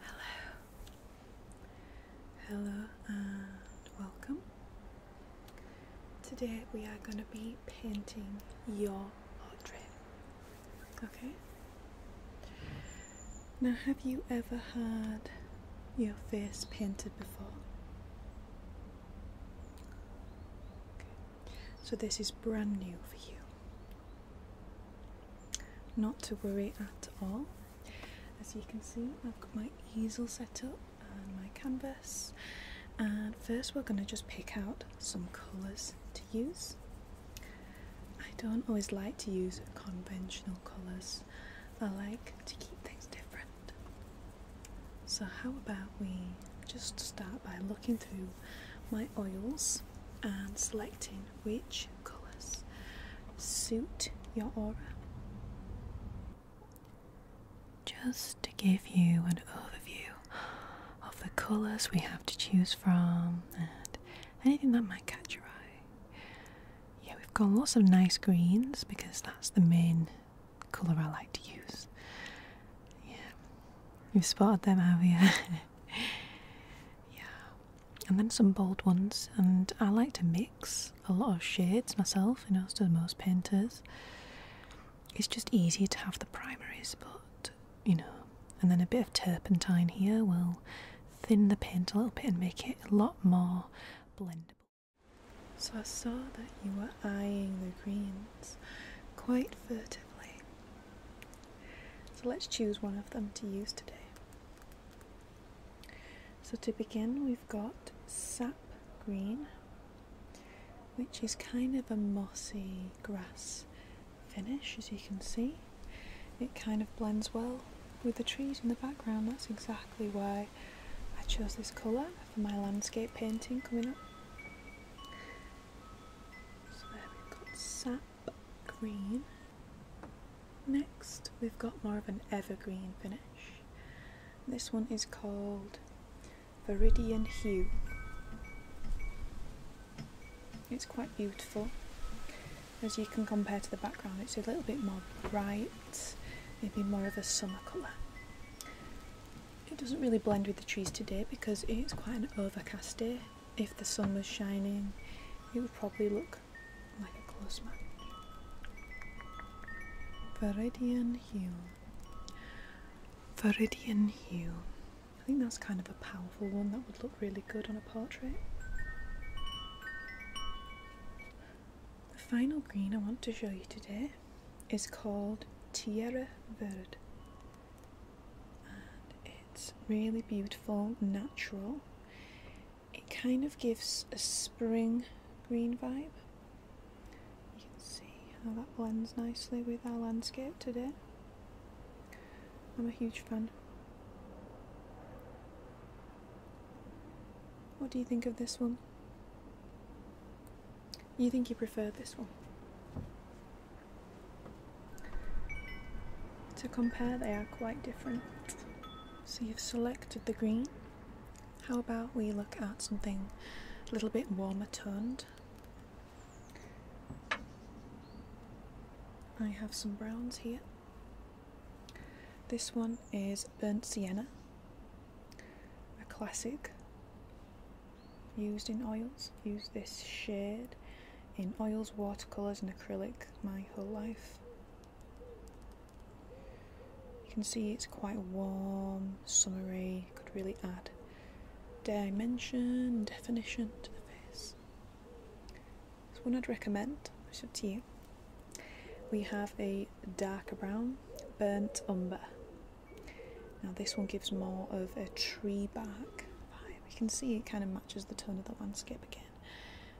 Hello. Hello and welcome. Today we are going to be painting your portrait. Okay? Now, have you ever had your face painted before? So, this is brand new for you. Not to worry at all. As you can see, I've got my easel set up and my canvas. And first, we're going to just pick out some colours to use. I don't always like to use conventional colours, I like to keep things different. So, how about we just start by looking through my oils and selecting which colours suit your aura. Just to give you an overview of the colours we have to choose from and anything that might catch your eye. Yeah, we've got lots of nice greens because that's the main colour I like to use. Yeah, you've spotted them, have you? yeah, and then some bold ones. And I like to mix a lot of shades myself, you know, so most painters. It's just easy to have the primaries, but you know, and then a bit of turpentine here will thin the paint a little bit and make it a lot more blendable. So I saw that you were eyeing the greens quite furtively. So let's choose one of them to use today. So to begin, we've got sap green, which is kind of a mossy grass finish, as you can see. It kind of blends well with the trees in the background. That's exactly why I chose this colour for my landscape painting coming up. So there we've got sap green. Next, we've got more of an evergreen finish. This one is called Viridian Hue. It's quite beautiful. As you can compare to the background, it's a little bit more bright, maybe more of a summer colour. It doesn't really blend with the trees today because it's quite an overcast day, if the sun was shining, it would probably look like a close match. Veridian Hue. Veridian Hue. I think that's kind of a powerful one that would look really good on a portrait. The final green I want to show you today is called Tierra Verde it's really beautiful, natural. It kind of gives a spring green vibe. You can see how that blends nicely with our landscape today. I'm a huge fan. What do you think of this one? You think you prefer this one? To compare, they are quite different. So you've selected the green. How about we look at something a little bit warmer toned? I have some browns here. This one is Burnt Sienna, a classic used in oils. Use this shade in oils, watercolours, and acrylic my whole life. You can see it's quite warm, summery, could really add dimension, definition to the face. It's one I'd recommend, it's up to you. We have a darker brown, burnt umber. Now this one gives more of a tree bark We can see it kind of matches the tone of the landscape again.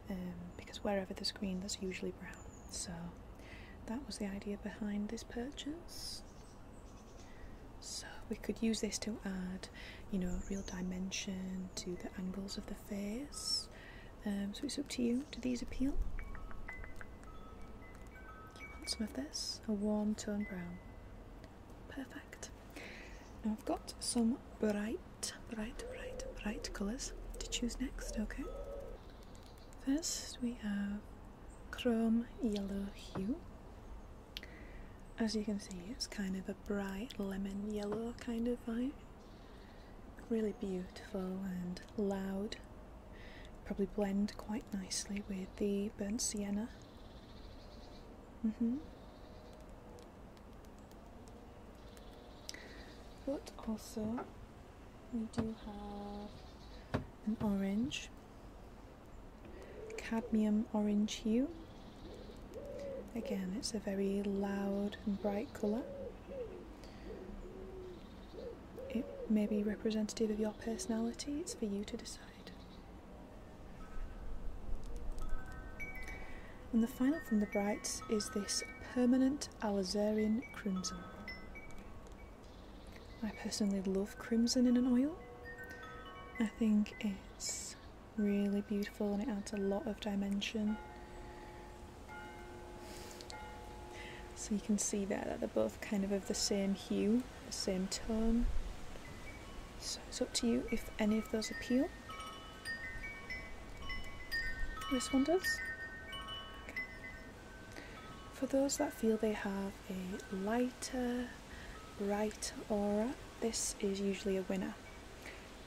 Um, because wherever the screen, that's usually brown so that was the idea behind this purchase so we could use this to add you know real dimension to the angles of the face um, so it's up to you do these appeal you want some of this a warm tone brown Perfect. Now I've got some bright, bright, bright, bright colours to choose next, okay? First we have chrome yellow hue. As you can see, it's kind of a bright lemon yellow kind of vibe. Really beautiful and loud. Probably blend quite nicely with the burnt sienna. Mm -hmm. But also, we do have an orange, cadmium orange hue. Again, it's a very loud and bright colour. It may be representative of your personality, it's for you to decide. And the final from the Brights is this permanent alizarin crimson. I personally love crimson in an oil. I think it's really beautiful and it adds a lot of dimension. So you can see there that they're both kind of of the same hue, the same tone. So it's up to you if any of those appeal. This one does? For those that feel they have a lighter, bright aura, this is usually a winner.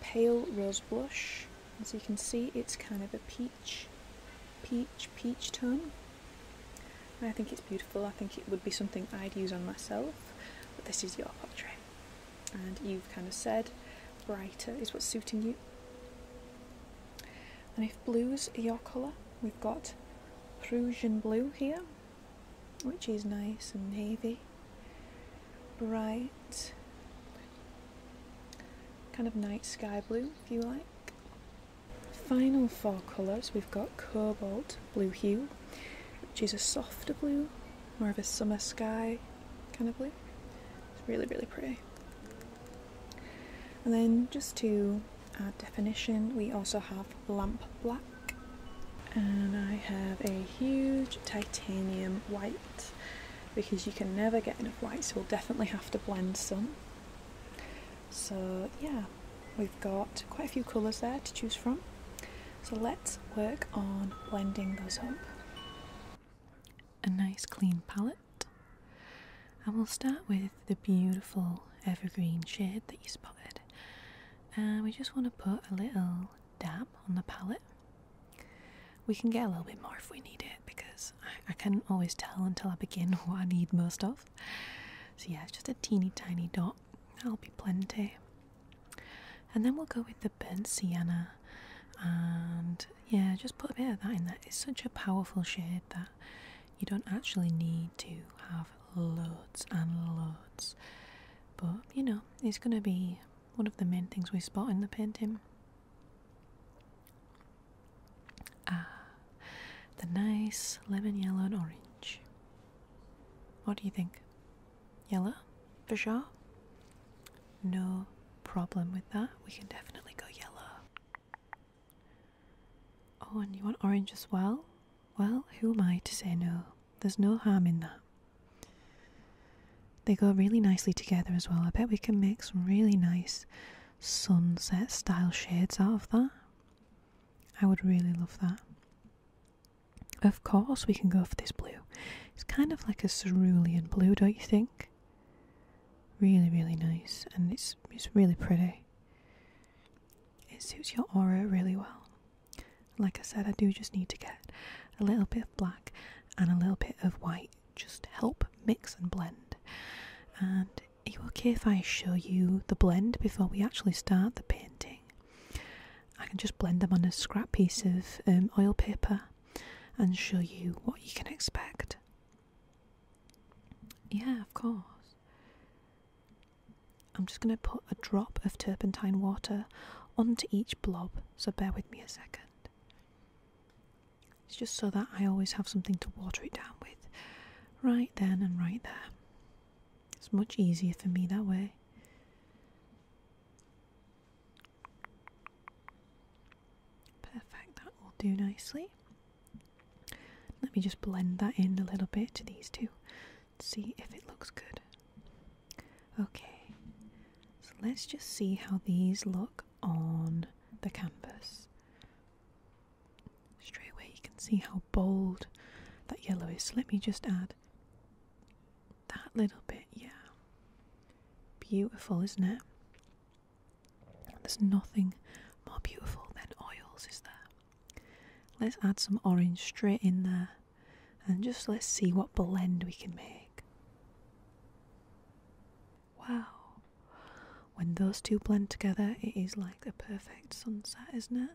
Pale Rose Blush, as you can see, it's kind of a peach, peach, peach tone. I think it's beautiful. I think it would be something I'd use on myself. But this is your portrait and you've kind of said brighter is what's suiting you. And if blues are your colour, we've got Prussian blue here, which is nice and navy, bright, kind of night sky blue if you like. Final four colours, we've got cobalt blue hue, which is a softer blue more of a summer sky kind of blue. It's really, really pretty. And then just to definition, we also have lamp black. And I have a huge titanium white because you can never get enough white, so we'll definitely have to blend some. So yeah, we've got quite a few colours there to choose from. So let's work on blending those up. A nice clean palette. And we'll start with the beautiful evergreen shade that you spotted. And we just want to put a little dab on the palette. We can get a little bit more if we need it because I, can't always tell until I begin what I need most of. So yeah, it's just a teeny tiny dot. That'll be plenty. And then we'll go with the burnt sienna, and yeah, just put a bit of that in there. It's such a powerful shade that you don't actually need to have loads and loads, but you know, it's going to be one of the main things we spot in the painting. Ah, the nice lemon yellow and orange. What do you think? yellow for sure. No problem with that. We can definitely go yellow. Oh, and you want orange as well? Well, who am I to say no? There's no harm in that. They go really nicely together as well. I bet we can make some really nice sunset style shades out of that. I would really love that. Of course, we can go for this blue. It's kind of like a cerulean blue, don't you think? Really, really nice, and it's it's really pretty. It suits your aura really well. Like I said, I do just need to get a little bit of black and a little bit of white, just to help mix and blend. And are you okay if I show you the blend before we actually start the painting? I can just blend them on a scrap piece of um, oil paper and show you what you can expect. Yeah, of course. I'm just going to put a drop of turpentine water onto each blob, so bear with me a second. It's just so that I always have something to water it down with, right then and right there. It's much easier for me that way. Perfect, that will do nicely. Let me just blend that in a little bit to these two, see if it looks good. Okay, so let's just see how these look on the canvas. Straight away, you can see how bold that yellow is. So let me just add that little bit, yeah. Beautiful, isn't it? There's nothing more beautiful than oils, is there? Let's add some orange straight in there and just let's see what blend we can make. Wow. When those two blend together, it is like a perfect sunset, isn't it?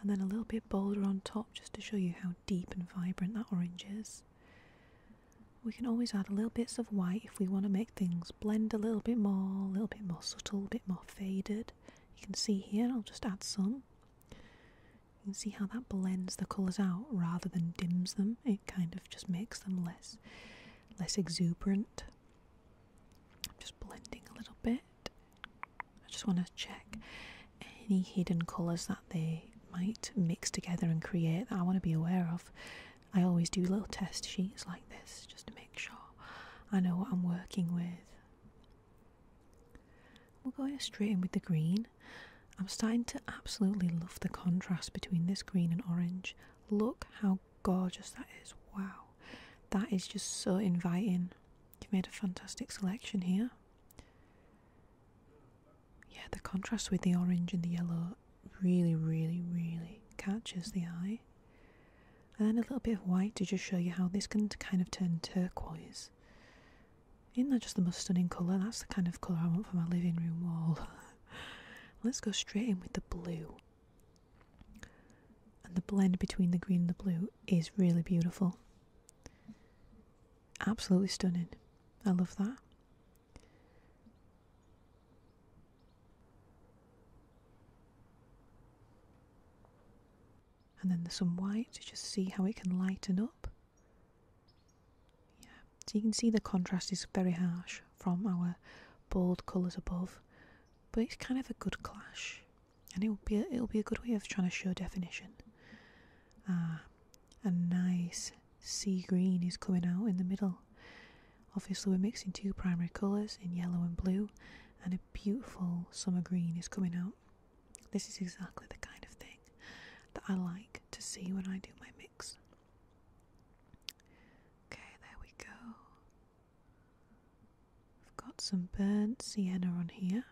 and then a little bit bolder on top just to show you how deep and vibrant that orange is. We can always add little bits of white if we want to make things blend a little bit more, a little bit more subtle, a bit more faded. You can see here, I'll just add some. You can see how that blends the colours out rather than dims them. It kind of just makes them less, less exuberant. I'm just blending a little bit. I just want to check any hidden colours that they might mix together and create that I want to be aware of. I always do little test sheets like this just to make sure I know what I'm working with. We're going straight in with the green. I'm starting to absolutely love the contrast between this green and orange. Look how gorgeous that is. Wow. That is just so inviting. You've made a fantastic selection here. Yeah, the contrast with the orange and the yellow really, really, really catches the eye. And then a little bit of white to just show you how this can kind of turn turquoise. Isn't that just the most stunning colour? That's the kind of colour I want for my living room wall. Let's go straight in with the blue. And the blend between the green and the blue is really beautiful. Absolutely stunning. I love that. And then there's some white to just see how it can lighten up. Yeah, so you can see the contrast is very harsh from our bold colours above, but it's kind of a good clash, and it'll be it'll be a good way of trying to show definition uh, a nice sea green is coming out in the middle. Obviously, we're mixing two primary colours in yellow and blue, and a beautiful summer green is coming out. This is exactly the kind of thing that I like to see when I do my mix. Okay, there we go. I've got some burnt sienna on here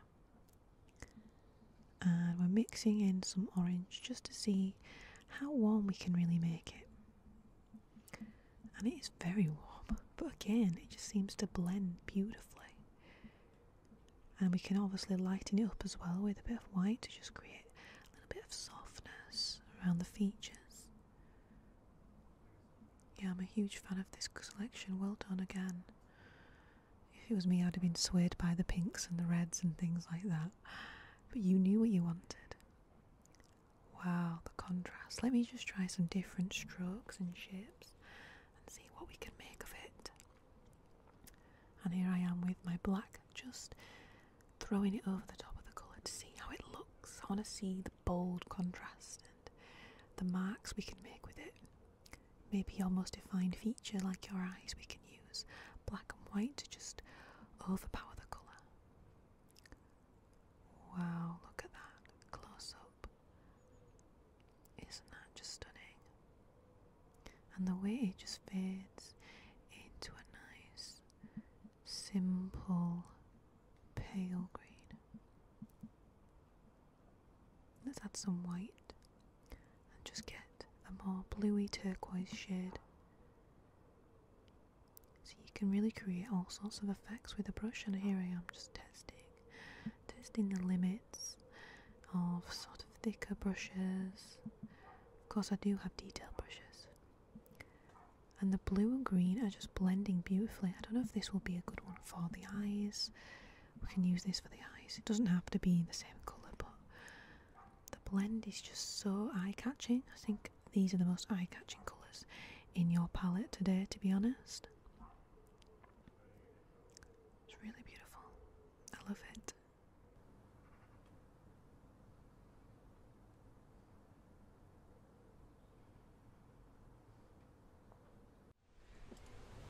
and we're mixing in some orange just to see how warm we can really make it. And it is very warm, but again, it just seems to blend beautifully. And we can obviously lighten it up as well with a bit of white to just create a little bit of softness around the features. Yeah, I'm a huge fan of this collection. Well done again. If it was me, I'd have been swayed by the pinks and the reds and things like that. But you knew what you wanted. Wow, the contrast. Let me just try some different strokes and shapes and see what we can make of it. And here I am with my black, just throwing it over the top of the colour to see how it looks. I want to see the bold contrast and the marks we can make with it maybe your most defined feature, like your eyes, we can use black and white to just overpower the colour. Wow, look at that close up. Isn't that just stunning? And the way it just fades into a nice, simple, pale green. Let's add some white and just get a more bluey turquoise shade. So you can really create all sorts of effects with a brush and here I am just testing, testing the limits of sort of thicker brushes. Of course I do have detail brushes. And the blue and green are just blending beautifully. I don't know if this will be a good one for the eyes we can use this for the eyes. It doesn't have to be the same colour, but the blend is just so eye catching. I think these are the most eye catching colours in your palette today, to be honest. It's really beautiful. I love it.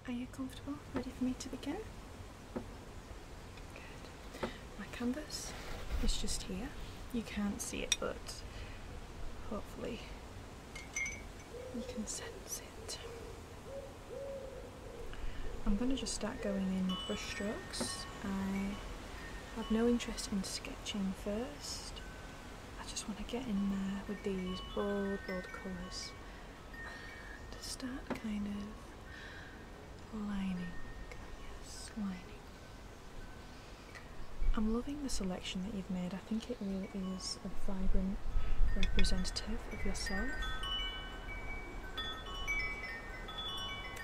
Are you comfortable? Ready for me to begin? Good. My canvas is just here. You can't see it but hopefully you can sense it. I'm going to just start going in with brush strokes. I have no interest in sketching first. I just want to get in there with these bold, bold colours and start kind of lining. Yes, lining. I'm loving the selection that you've made. I think it really is a vibrant representative of yourself.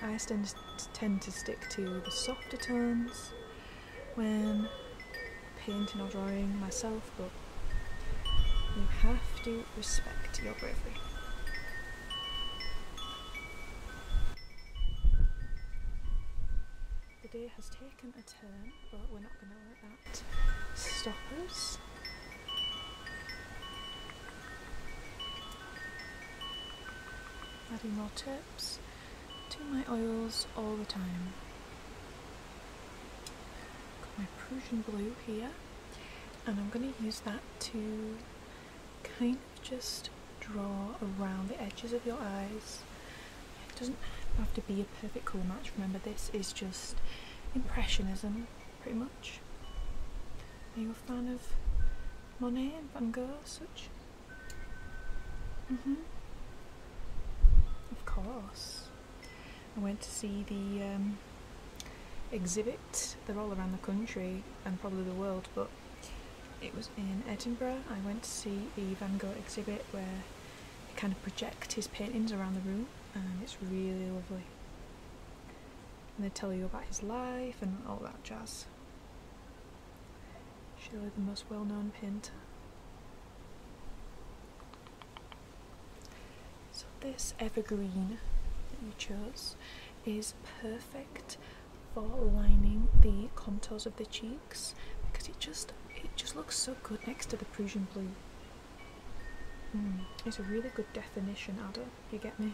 I tend to stick to the softer tones when painting or drawing myself, but you have to respect your bravery. The day has taken a turn, but we're not going to let that stop us. Adding more tips to my oils all the time. Got my Prussian blue here and I'm going to use that to kind of just draw around the edges of your eyes. It doesn't have to be a perfect colour match, remember this is just impressionism pretty much. Are you a fan of Monet and Van Gogh such? hmm Of course. I went to see the um, exhibit. They're all around the country and probably the world, but it was in Edinburgh. I went to see the Van Gogh exhibit where they kind of project his paintings around the room, and it's really lovely. And they tell you about his life and all that jazz. Surely the most well known pint. So this evergreen that you chose is perfect for lining the contours of the cheeks because it just it just looks so good next to the Prussian blue. Mm, it's a really good definition adder, you get me?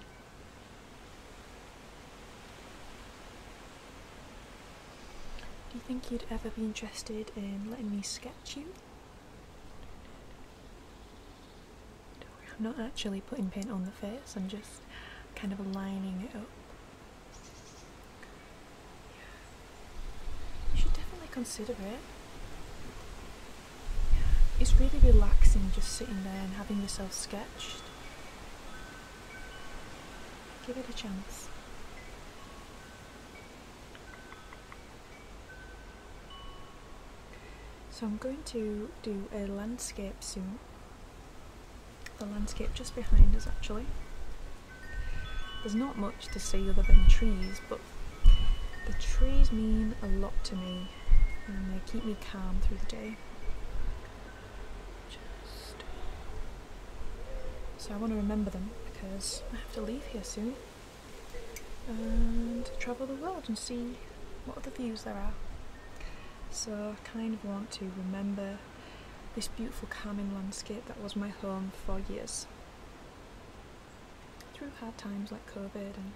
Do you think you'd ever be interested in letting me sketch you? I'm not actually putting paint on the face, I'm just kind of lining it up. You should definitely consider it. It's really relaxing just sitting there and having yourself sketched. Give it a chance. So I'm going to do a landscape soon. The landscape just behind us actually. There's not much to see other than trees, but the trees mean a lot to me and they keep me calm through the day. so I want to remember them because I have to leave here soon and travel the world and see what other views there are. So I kind of want to remember this beautiful calming landscape that was my home for years. Through hard times like COVID and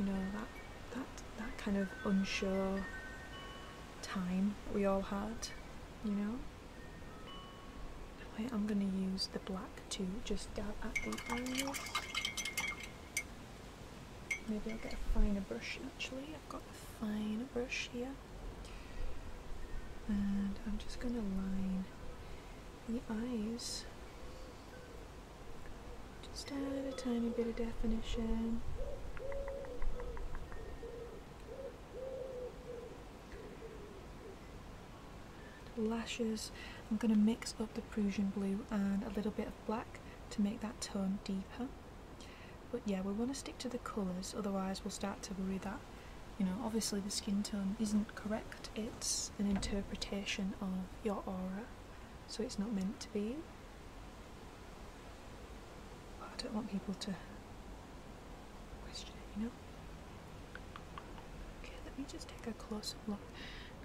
you know that that that kind of unsure time we all had, you know. I'm gonna use the black to just dab at the eyes. Maybe I'll get a finer brush actually. I've got a fine brush here. And I'm just gonna line the eyes. Just add a tiny bit of definition lashes I'm going to mix up the Prussian blue and a little bit of black to make that tone deeper but yeah we want to stick to the colours otherwise we'll start to worry that you know obviously the skin tone isn't correct it's an interpretation of your aura so it's not meant to be I don't want people to question it you know Okay, let me just take a closer look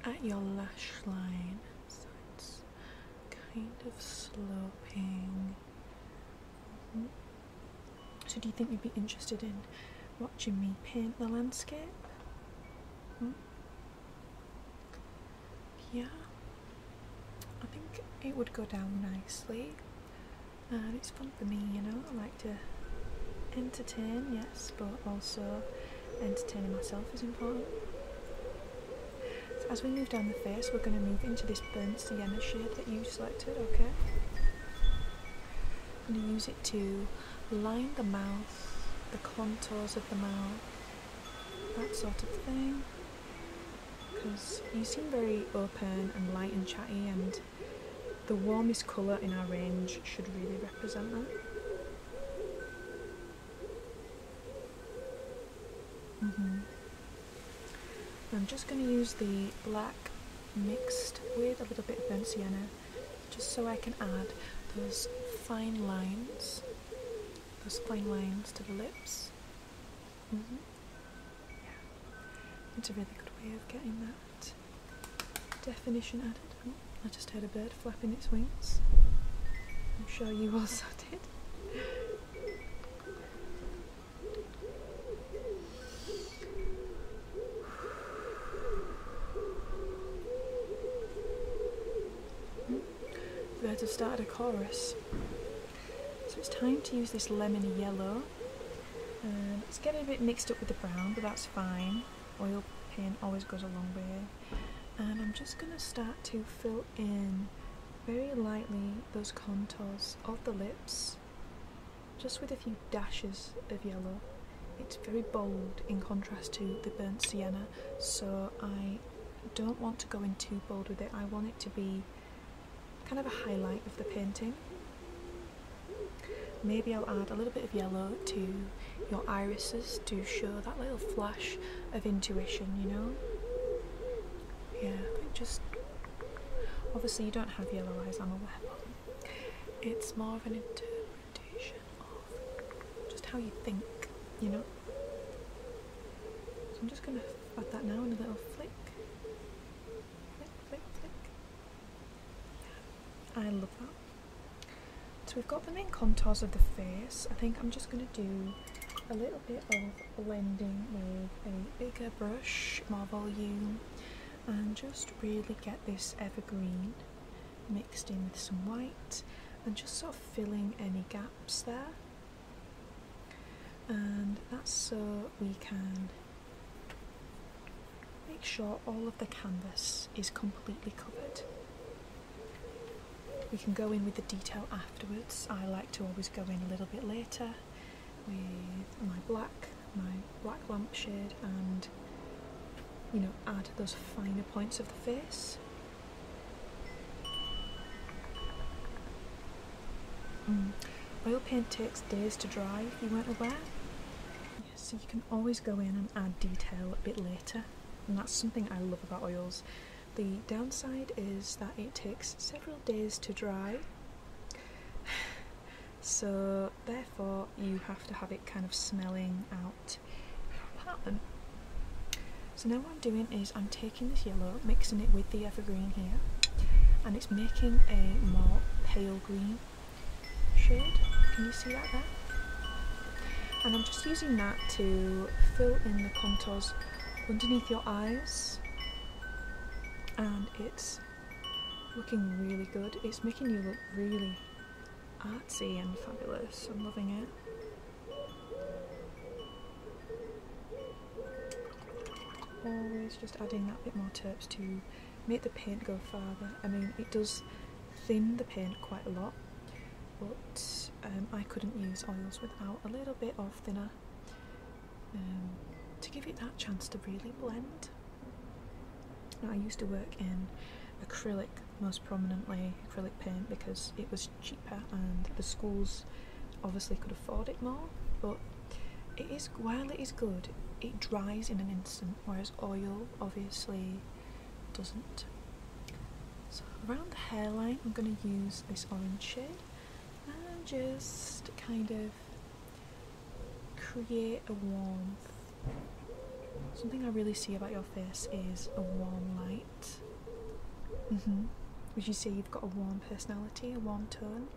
at your lash line. So it's kind of sloping. Mm-hmm. So, do you think you'd be interested in watching me paint the landscape? Mm-hmm. Yeah, I think it would go down nicely. And it's for me, you know. I like to entertain, yes, but also entertaining myself is important. as we move down the face, we're going to move into this burnt sienna shade that you selected, okay? I'm going to use it to line the mouth, the contours of the mouth, that sort of thing. Because you seem very open and light and chatty and the warmest colour in our range should really represent that. Mm-hmm. I'm just going to use the black mixed with a little bit of burnt sienna just so I can add those fine lines, those fine lines to the lips. Mm-hmm. it's a really good way of getting that definition added. I just heard a bird flapping its wings. I'm sure you also did. Birds have started a chorus. So it's time to use this lemon yellow. Um, it's getting a bit mixed up with the brown, but that's fine oil paint always goes a long way and I'm just gonna start to fill in very lightly those contours of the lips just with a few dashes of yellow it's very bold in contrast to the burnt sienna so I don't want to go in too bold with it I want it to be kind of a highlight of the painting Maybe I'll add a little bit of yellow to your irises to show that little flash of intuition, you know? Yeah, just obviously you don't have yellow eyes, I'm aware, it's more of an interpretation of just how you think, you know? So I'm just gonna add that now in a little flick. Flick, flick, flick. Yeah, I love that. So we've got the main contours of the face. I think I'm just going to do a little bit of blending with a bigger brush, more volume, and just really get this evergreen mixed in with some white and just sort of filling any gaps there. And that's so we can Make sure all of the canvas is completely covered. We can go in with the detail afterwards. I like to always go in a little bit later with my black, my black lampshade and you know add those finer points of the face. Mm. Oil paint takes days to dry you weren't aware so you can always go in and add detail a bit later and that's something I love about oils. The downside is that it takes several days to dry so therefore you have to have it kind of smelling out your So now what I'm doing is I'm taking this yellow, mixing it with the evergreen here and it's making a more pale green shade. Can you see that there? And I'm just using that to fill in the contours underneath your eyes. And it's looking really good. It's making you look really artsy and fabulous. I'm loving it. Always just adding that bit more turps to make the paint go farther. I mean, it does thin the paint quite a lot, but um, I couldn't use oils without a little bit of thinner um, to give it that chance to really blend. I used to work in acrylic most prominently acrylic paint because it was cheaper and the schools obviously could afford it more but it is while it is good it dries in an instant whereas oil obviously doesn't. So around the hairline I'm going to use this orange shade and just kind of create a warmth. Something I really see about your face is a warm light. Mm Would you say you've got a warm personality, a warm tone?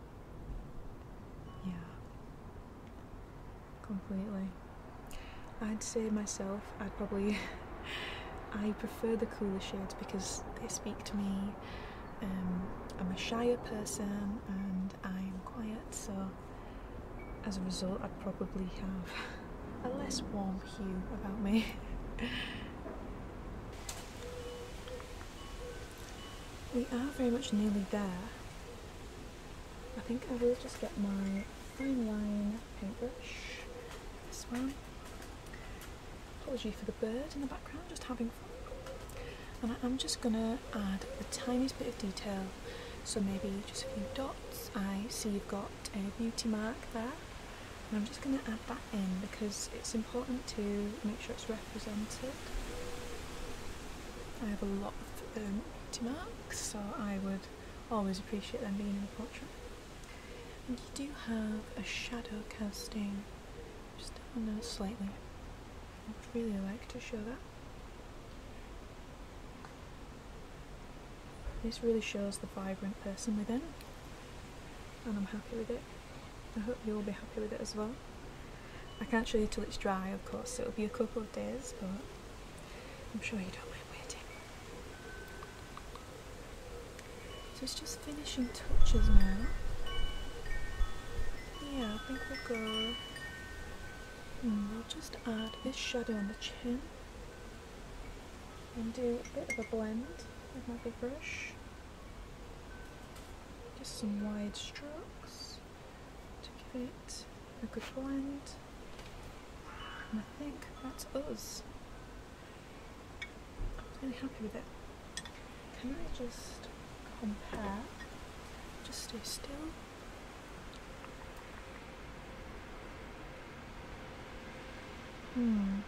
Yeah completely. I'd say myself, I'd probably. I prefer the cooler shades because they speak to me. Um, I'm a shyer person and I'm quiet, so as a result, I would probably have a less warm hue about me. we are very much nearly there. I think I will just get my fine line paintbrush, this one. Apology for the bird in the background, just having fun. And I am just gonna add a tiny bit of detail. So maybe just a few dots. I see you've got a beauty mark there. And I'm just gonna add that in because it's important to make sure it's represented. I have a lot depth um, marks, so I would always appreciate them being in the portrait. And you do have a shadow casting just down there slightly. I'd really like to show that. This really shows the vibrant person within, and I'm happy with it. I hope you'll be happy with it as well. I can't show you till it's dry, of course, so it'll be a couple of days, but I'm sure you don't mind waiting. So it's just finishing touches now. Yeah, I think we'll go. Mm, we'll just add this shadow on the chin and do a bit of a blend with my big brush. Just some wide strokes to give it a good blend. And I think that's us. I'm really happy with it. Can I just compare? Just stay still. Hmm.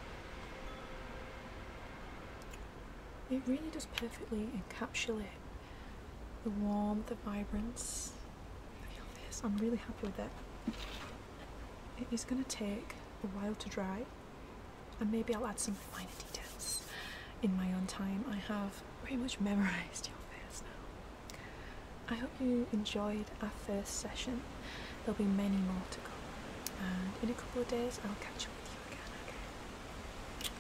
It really does perfectly encapsulate the warmth, the vibrance, I am really happy with it. It is going to take a while to dry and maybe I'll add some finer details in my own time. I have very much memorised your face now. I hope you enjoyed our first session. There'll be many more to come and in a couple of days I'll catch up with you again, okay?